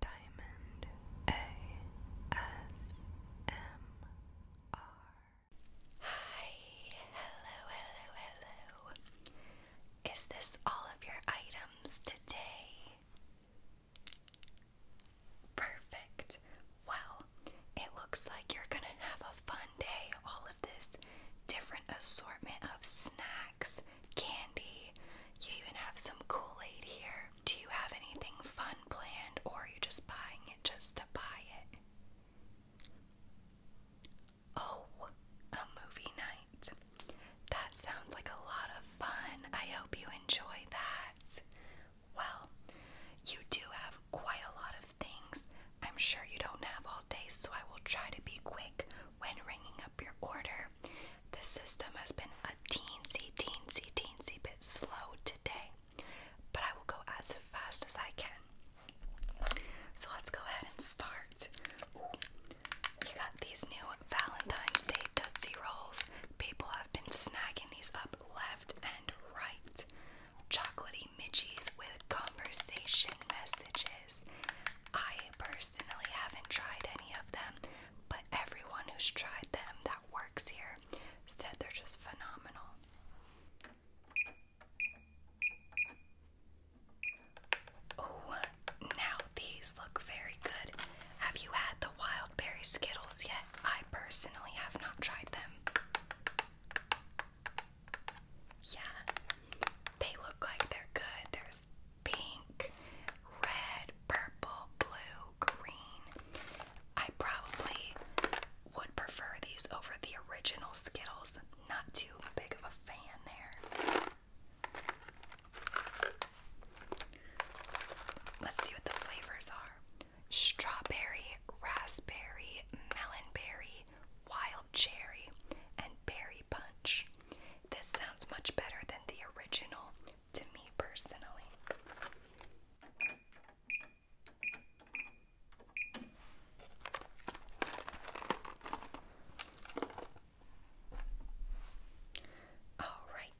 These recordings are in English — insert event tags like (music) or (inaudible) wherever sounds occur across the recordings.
Diamond ASMR. Hi, hello, hello, hello. Is this all of your items today? Perfect. Well, it looks like you're gonna have a fun day. All of this different assortment of snacks candy. You even have some Kool Aid here. Do you have anything fun planned, or are you just buying it just to buy it? Oh, a movie night. That sounds like a lot of fun. I hope you enjoy that. Well, you do have quite a lot of things. I'm sure you don't have all day, so I will try to be quick when ringing up your order. The system has been a teensy, teensy, teensy bit slow today, but I will go as fast as I can. So let's go ahead and start. you got these new Valentine's Day Tootsie Rolls. People have been snacking these up left and right. Chocolatey midgies with conversation messages. I I personally haven't tried any of them, but everyone who's tried them that works here said they're just phenomenal. Oh, now these look very good. Have you had the wild berry Skittles yet? I personally have not tried them. Yeah, they look like they're good. There's pink, red, purple, blue, green. I probably would prefer these over the original Skittles. Not too big of a fan there. Let's see what the flavors are strawberry, raspberry, melon berry, wild cherry, and berry punch. This sounds much better than the original to me personally. All right.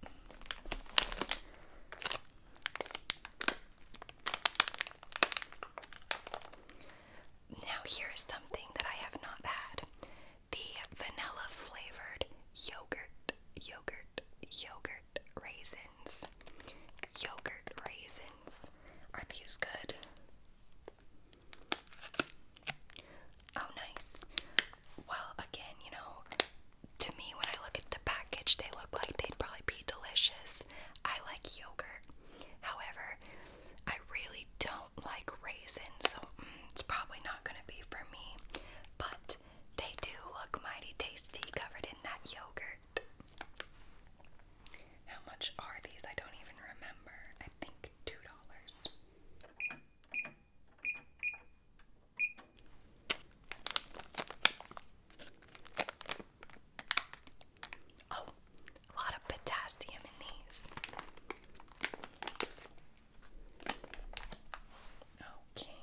Now, here is something that I have not had, the vanilla flavored yogurt, yogurt, yogurt raisins. Yogurt raisins. Are these good? Oh, nice. Well, again, you know, to me, when I look at the package, they look like they'd probably be delicious. I like yogurt. However, I really I don't like raisins, so mm, it's probably not going to be for me. But they do look mighty tasty covered in that yogurt. How much are these? I don't even remember. I think $2. Oh, a lot of potassium in these. Okay.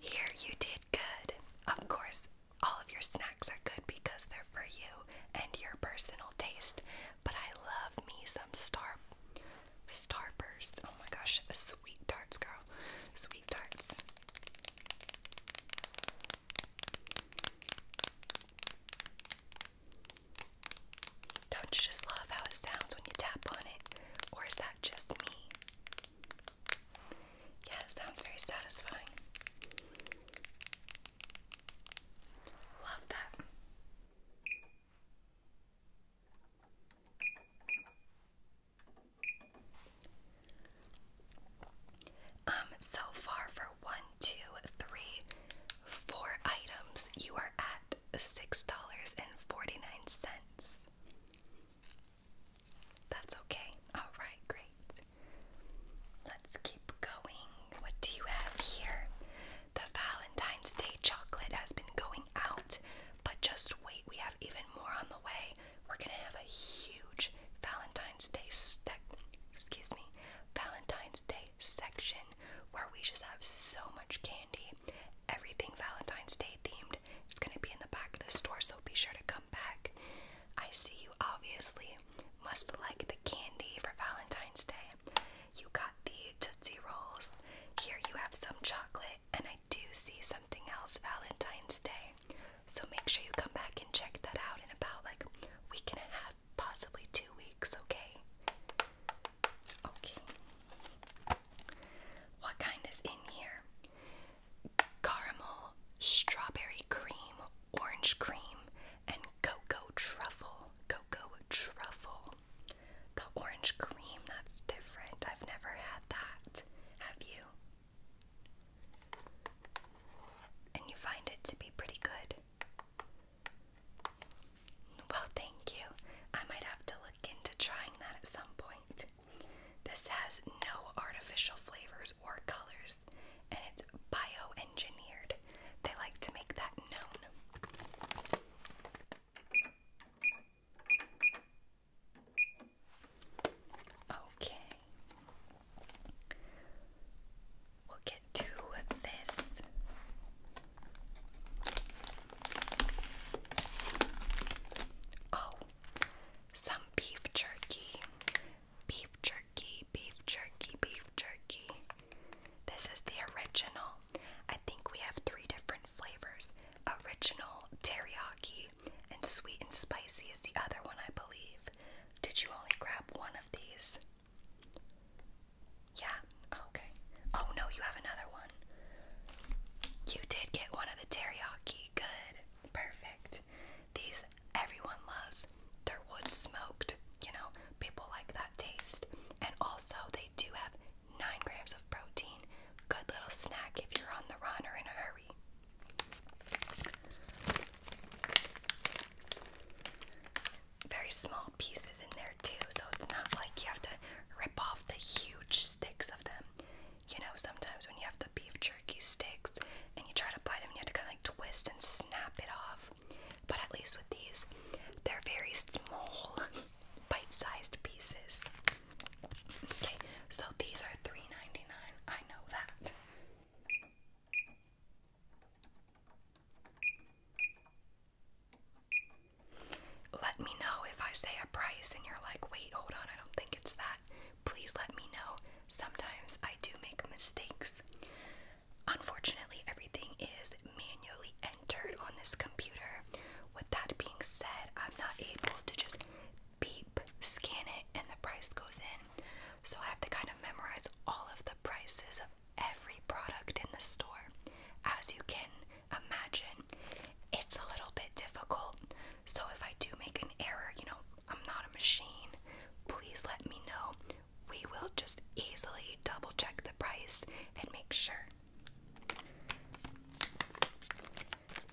Here you did good. Of course, all of your snacks are good because they're for you and your personal taste. But I love me some star starburst. Oh my gosh, sweet tarts, girl. Sweet tarts. Don't you just love how it sounds when you tap on it? Or is that just me? Yeah, it sounds very satisfying. Love that. Um, so far for one two, three, four items, you are at $6.49. That's okay. Alright, great. Let's keep going. What do you have here? The Valentine's Day chocolate has been going out, but just wait, we have even more on the way. We're gonna have a huge Valentine's Day excuse me, Valentine's Day section where we just have so much candy, everything Valentine's Day themed. It's going to be in the back of the store, so be sure to come back. I see you obviously must like the candy for Valentine's Day. You got the Tootsie Rolls. Here you have some chocolate, and I do see something else Valentine's Day. So make sure you come back and check that out in about like a week and a half possibly two weeks, okay? Okay. What kind is in here? Caramel, strawberry cream, orange cream, and cocoa truffle. Cocoa truffle. The orange cream, that's different. I've never had that. Have you? And you find it to be pretty good. Well, thank you. I might have to look into trying that at some point. This has no artificial flavors or colors, and it's bioengineered. They like to make that known. Okay we'll get to this. Oh, some beef jerky. Beef jerky, beef jerky, beef jerky. This is the original. I think we have three different flavors original, teriyaki, and sweet and spicy is the other one, I believe. Did you only grab one of these? Yeah, okay. Oh no, you have another one. You did get one of the teriyaki. Good. Perfect. These everyone loves. They're wood smoked. You know, people like that taste. And also, they do have 9 grams of protein. Good little snack if you're on the run or in a hurry very small pieces in there too, so it's not like you have to rip off the huge sticks of them. You know, sometimes when you have the beef jerky sticks and you try to bite them, you have to kind of like twist and snap it off. But at least with these, they're very small, (laughs) bite sized pieces. Okay, so these are three ninety-nine. I know that. Let me know if I say a price and you're like, wait, hold on, I don't think it's that. Please let me know. Sometimes I do make mistakes. Unfortunately, everything is manually entered on this computer. With that being said, I'm not able to just beep, scan it, and the price goes in. So I have to kind of memorize all of the prices every product in the store. As you can imagine, it's a little bit difficult. So if I do make an error, you know, I'm not a machine, please let me know. We will just easily double check the price and make sure.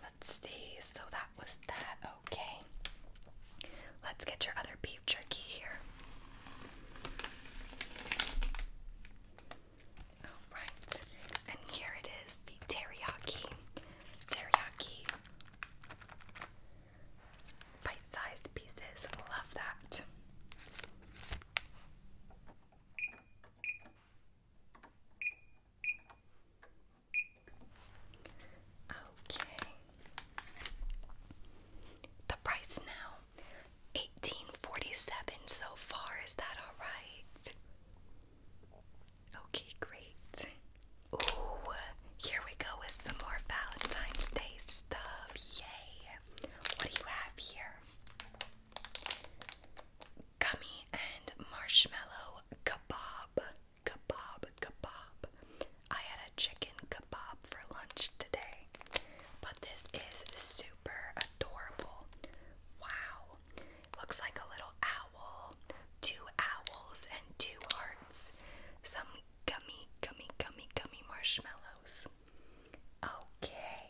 Let's see, so that was that, okay. Let's get your other beef jerky here. Alright, and here it is the teriyaki. Teriyaki. Bite sized pieces. Love that. Okay, the price now, eighteen forty-seven so far. Is that all right? Okay, great. Ooh, here we go with some more Valentine's Day stuff. Yay! What do you have here? Gummy and marshmallow kebab. Kebab, kebab. I had a chicken kebab for lunch today. But this is super adorable. Wow. Looks like a little owl. Two owls and two hearts. Some gummy, gummy, gummy, gummy marshmallows. Okay.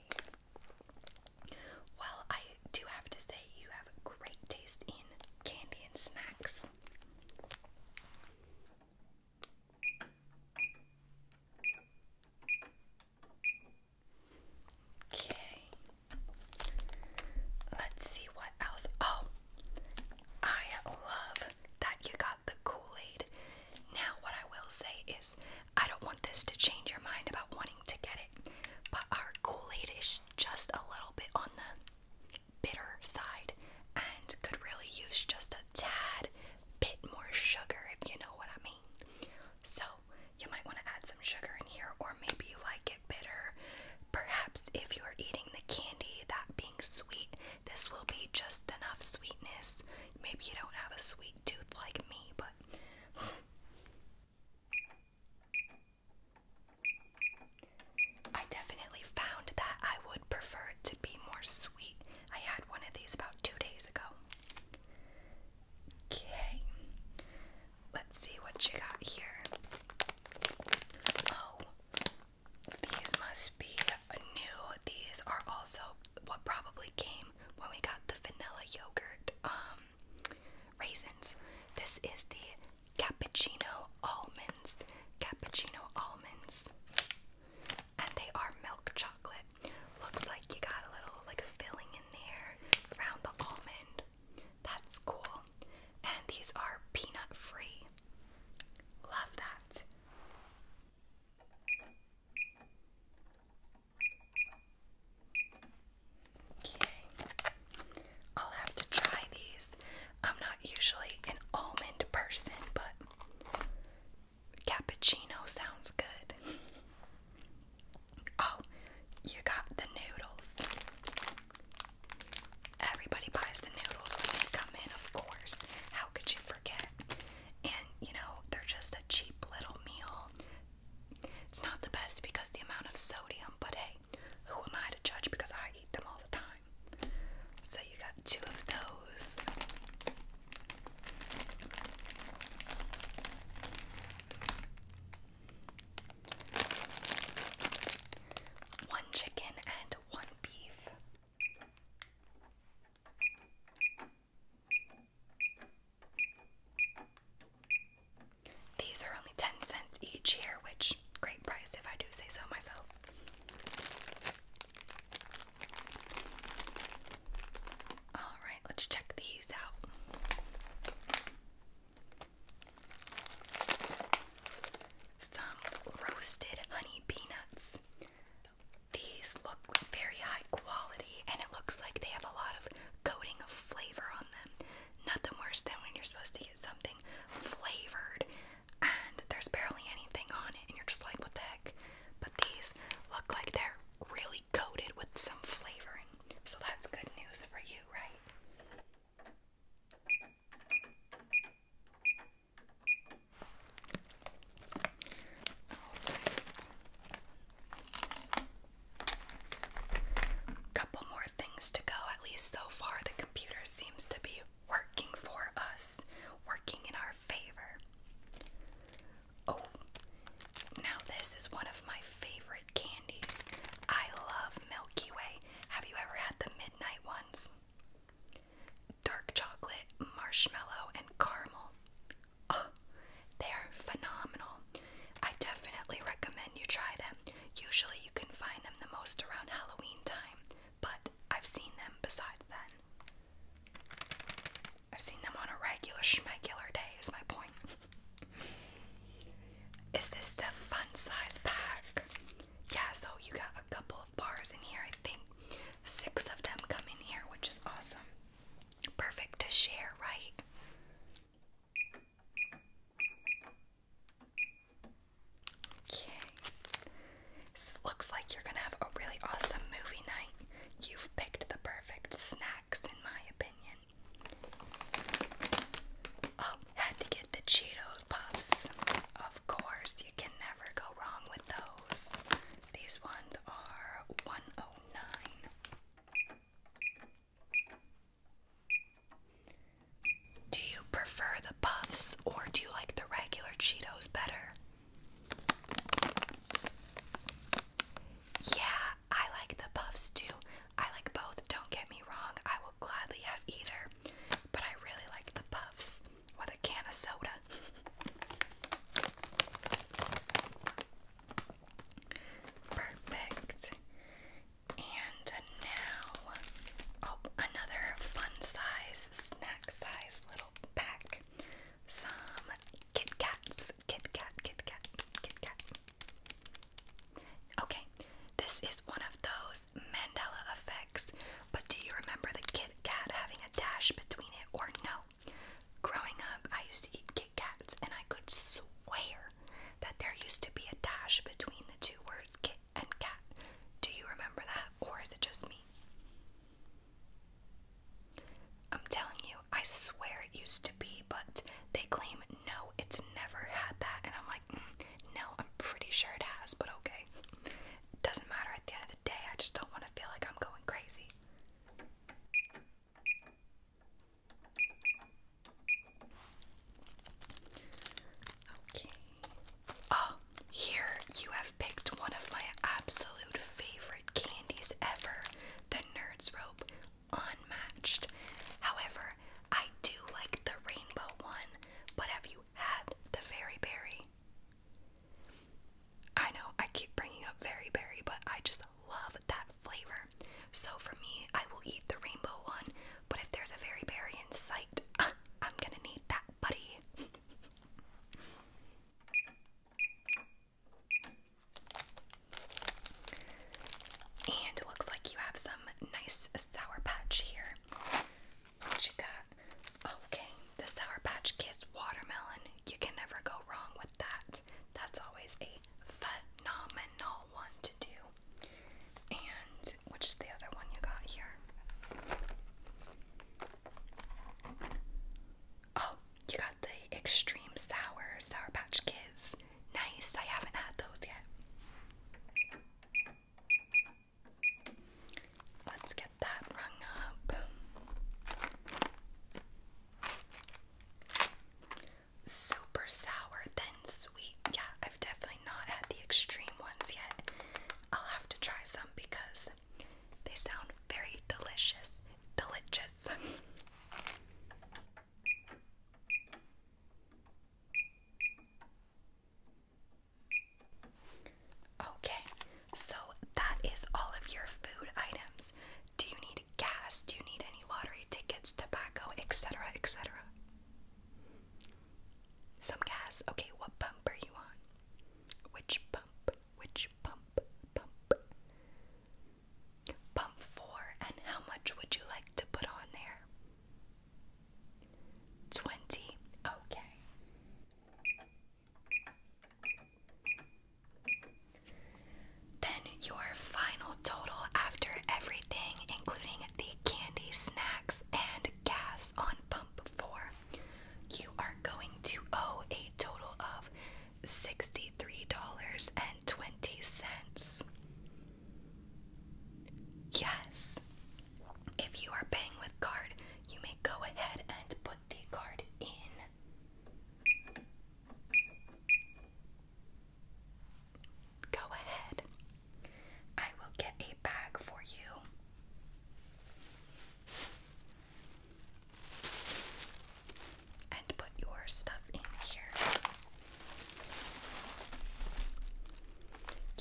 Well, I do have to say, you have great taste in candy and snacks. Okay. Let's see what else. Oh, I love that you got the Kool Aid. Now, what I will say is, I don't want this to change your mind about wanting to get it, but our Kool Aid is just a little bit on the bitter side and could really use just a tad bit more sugar, if you know what I mean. So, you might want to add some sugar in here, or maybe you like it bitter. Perhaps if you're eating the candy, that being sweet, this will be just enough sweetness. Maybe you don't have a sweet tooth like me, but. I definitely found that I would prefer it to be more sweet. I had one of these about two days ago. Okay, let's see what you got here. Oh, these must be new. These are also what probably came when we got the vanilla yogurt um, raisins. This is the cappuccino almonds. Cappuccino almonds and they are milk chocolate. Looks like you got a little like filling in there around the almond. That's cool. And these are peanut free. Love that. Okay. I'll have to try these. I'm not usually an almond person, but cappuccino sounds good. Oh, you got the noodles. Everybody buys the noodles when they come in, of course. How could you forget? And you know, they're just a cheap little meal. It's not the best because the amount of sodium, but hey, who am I to judge because I eat them all the time? So you got two of those. One chicken and one beef. These are only 10 cents each here, which great price if I do say so myself. All right, let's check these out. Some roasted honey peanuts. These look very high quality, and it looks like they have a lot of coating of flavor on them. Nothing worse than when you're supposed to get something flavored and there's barely anything on it, and you're just like, what the heck? But these look like they're really coated with some flavoring, so that's good news for you, right? Alright. Couple more things to go, at least so far. The computer seems to be working for us, working in our favor. Oh, now this is one of my favorite candies. I love Milky Way. Have you ever had the midnight ones? Dark chocolate, marshmallow, and caramel. Oh, they're phenomenal. I definitely recommend you try them. Usually, you can find them the most around Halloween time but I've seen them besides then. I've seen them on a regular schmegular day, is my point. (laughs) is this the fun size pack? Yeah, so you got a couple of bars in here. I think six of them come in here, which is awesome. Perfect to share, right? Yay. looks like you're gonna have a really awesome movie night. You've picked the perfect snacks, in my opinion. Oh, had to get the Cheetos Puffs. Of course, you can never go wrong with those. These ones are 109. Do you prefer the puffs or do you like the regular Cheetos better? Yeah, I like the puffs too. I like both, don't get me wrong. I will gladly have either, but I really like the puffs with a can of soda. (laughs) Perfect. And now, oh, another fun size, snack size little pack. Some Kit Kats, Kit Kat, Kit Kat, Kit Kat. Okay, this is one of those Mandela effects, but do you remember the Kit Kat having a dash between it or no? Growing up, I used to eat Kit Kats and I could swear that there used to be a dash between the two words Kit and cat. Do you remember that, or is it just me? I'm telling you, I swear it used to be, but they claim no, it's never had that. And I'm like, mm, no, I'm pretty sure it has, but okay. Doesn't matter at the end of the day, I just don't want to feel like I'm going crazy. Okay. Oh, here you have picked one of my absolute favorite candies ever the Nerds Rope Unmatched. However, I do like the rainbow one, but have you had the Fairy Berry? I know I keep bringing up Fairy Berry, but I just love that flavor. So for me, I will eat the rainbow one, but if there's a Fairy Berry in sight, (laughs) I'm gonna need that buddy. And it looks like you have some nice Sour Patch here. Okay, the Sour Patch Kids watermelon. You can never go wrong with that. That's always a phenomenal one to do. And white, which is the other one you got here. Oh, you got the extreme sour Sour Patch Kids. Nice, I haven't had those yet. Let's get that rung up. Super sour, then sweet. Yeah, I've definitely not had the extreme ones yet. I'll have to try some because they sound very delicious. Delicious. okay, so that is all of your food items. Do you need gas? Do you need any lottery tickets, tobacco, etc., etc.? Some gas. Okay, what pump are you on? Which pump? Which pump? Pump. four. And how much would you like to put on there? 20. Okay. Then your final total after everything, including the candy, snacks, and gas on on you are going to owe a total of $63.20. Yes. If you are paying with card, you may go ahead and put the card in. Go ahead I will get a bag for you. And put your stuff in here.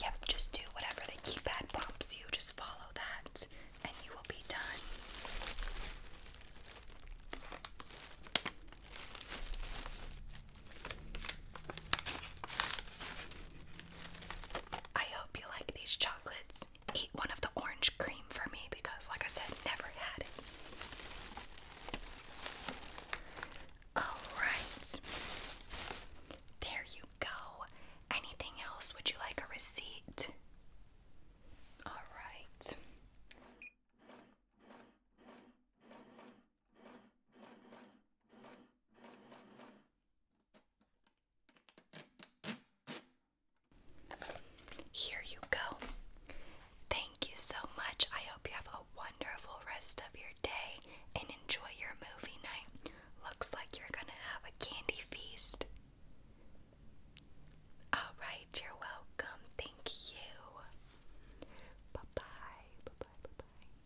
Yep, just do whatever the keypad prompts you, just follow that, and you will be done. I hope you like these chocolates. Eat one of the orange cream for me because, like I said, never had it. Alright. There you go. Anything else? Would you like a receipt? Alright. Here you go. Thank you so much. I hope you have a wonderful rest of your day and enjoy your movie night. Looks like you're gonna have a candy feast. Alright, you're welcome. Thank you. Bye bye. Bye bye. Bye bye.